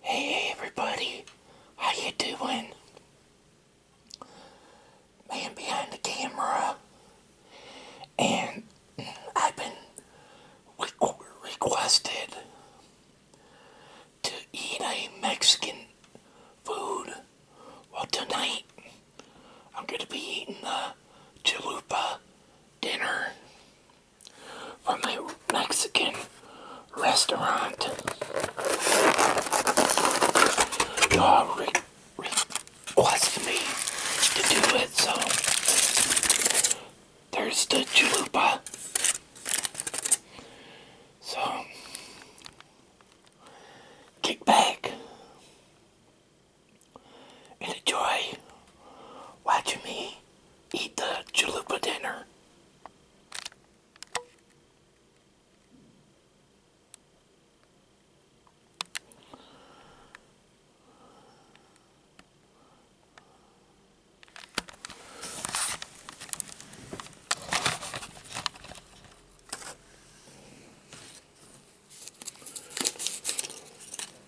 Hey everybody, how you doing? Man behind the camera, and I've been requested to eat a Mexican food. Well, tonight I'm gonna be eating the chalupa dinner from the Mexican restaurant. Y'all requested me to do it, so there's the chalupa. So, kick back and enjoy watching me eat the chalupa dinner.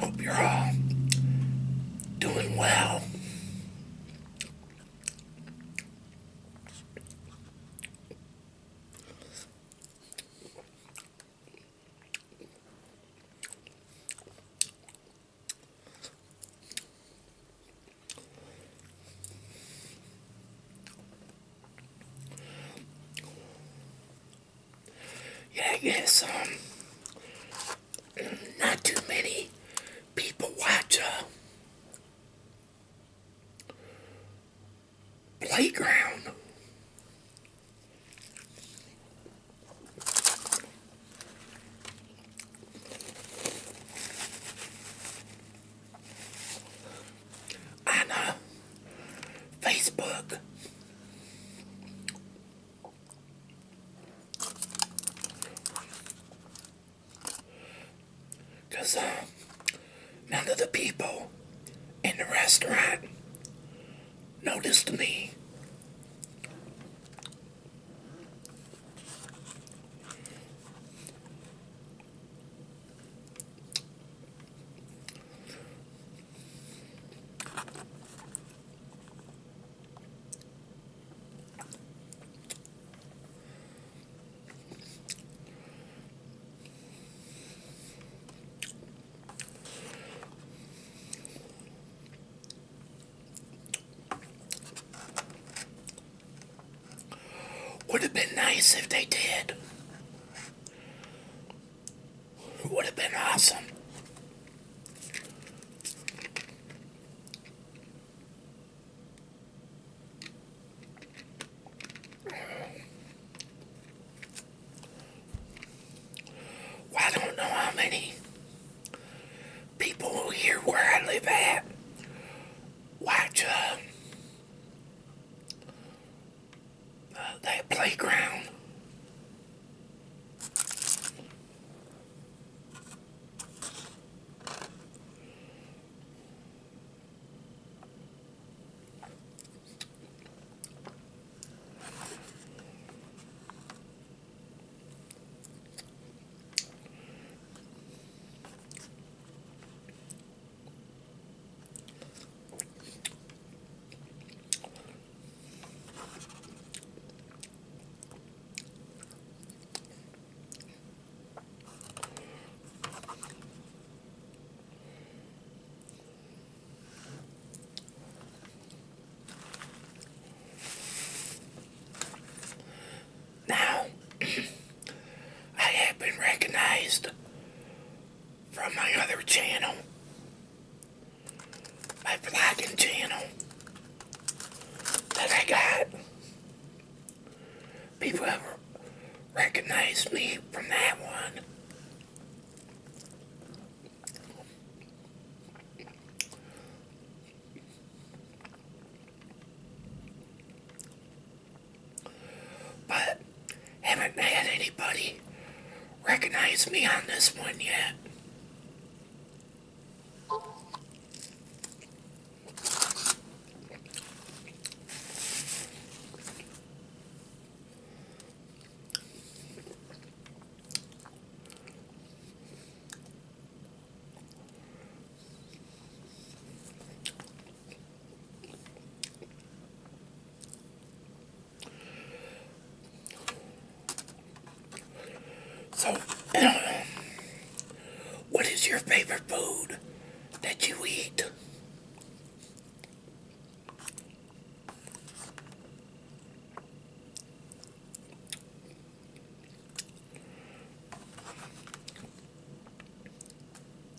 Hope you're all uh, doing well yeah, I guess um, not too many people watch uh, Playground on uh, Facebook. Because none of the people in the restaurant noticed me. Would have been nice if they did. It Would have been awesome. I don't know how many people here where I live at watch uh, that playground. Now, I have been recognized from my other channel, my vlogging channel that I got. People have recognized me from that one. But haven't had anybody recognize me on this one yet. So, what is your favorite food that you eat?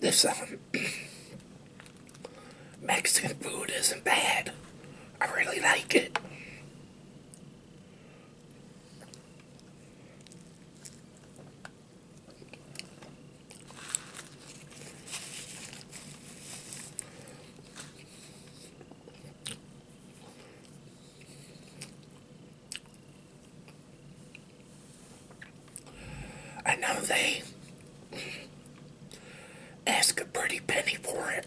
this um, Mexican food isn't bad. I really like it. I know they ask a pretty penny for it.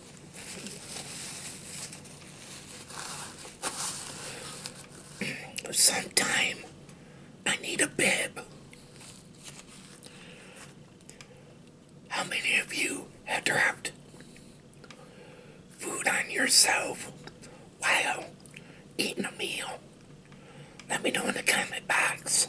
Sometime I need a bib. How many of you have dropped food on yourself while eating a meal? Let me know in the comment box.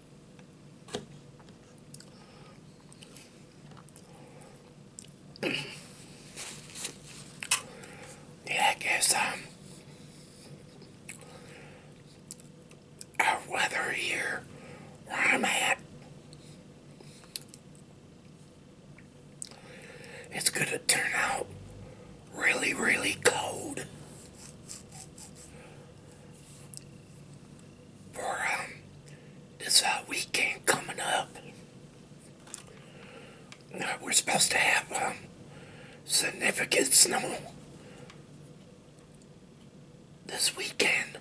Yeah, I guess um, our weather here where I'm at, it's going to turn out really, really cold for um, this weekend coming up. we're supposed to have um, significant snow this weekend.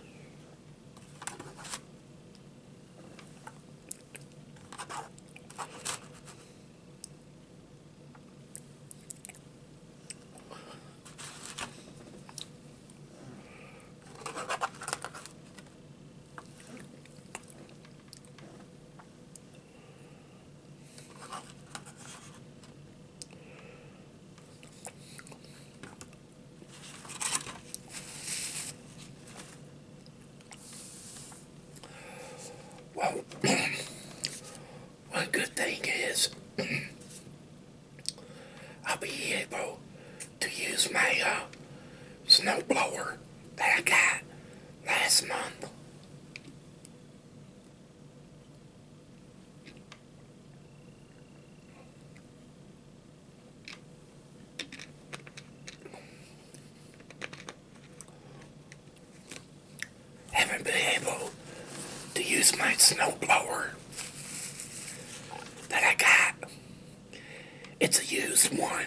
Well, one good thing is I'll be able to use my uh, snowblower that I got last month haven't been able to use my snow blower that I got. It's a used one.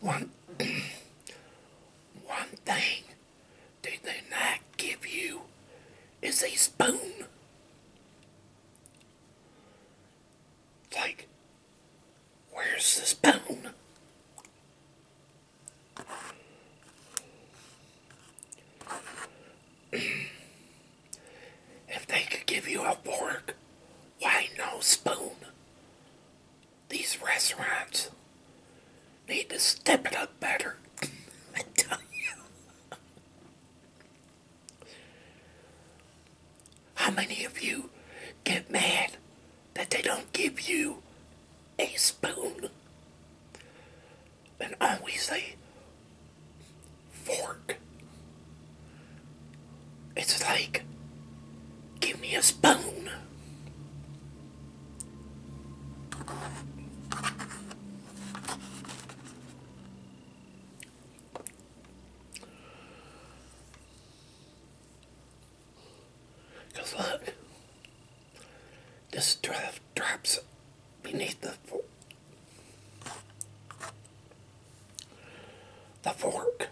One, one thing they did not give you is a spoon. Like, where's the spoon? if they could give you a fork, why no spoon? These restaurants need to step it up better. I tell you. How many of you get mad that they don't give you a spoon? And always say fork. It's like, give me a spoon. Because look, this draft drops beneath the fork. The fork.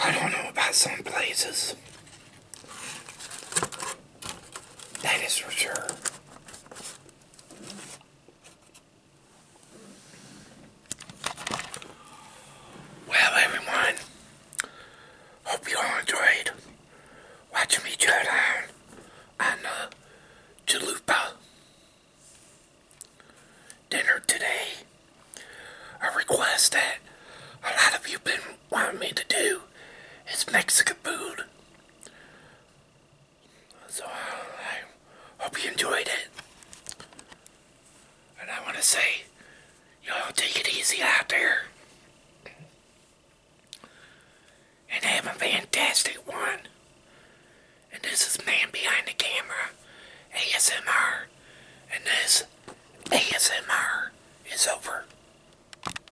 I don't know about some places. That is for sure. Well, everyone, hope you all enjoyed watching me tear down on uh, dinner today. A request that a lot of you been wanting me to do is Mexican food. So I hope you enjoyed it. And I want to say, y'all take it easy out there. And have a fantastic one. And this is Man Behind the Camera, ASMR. And this ASMR is over.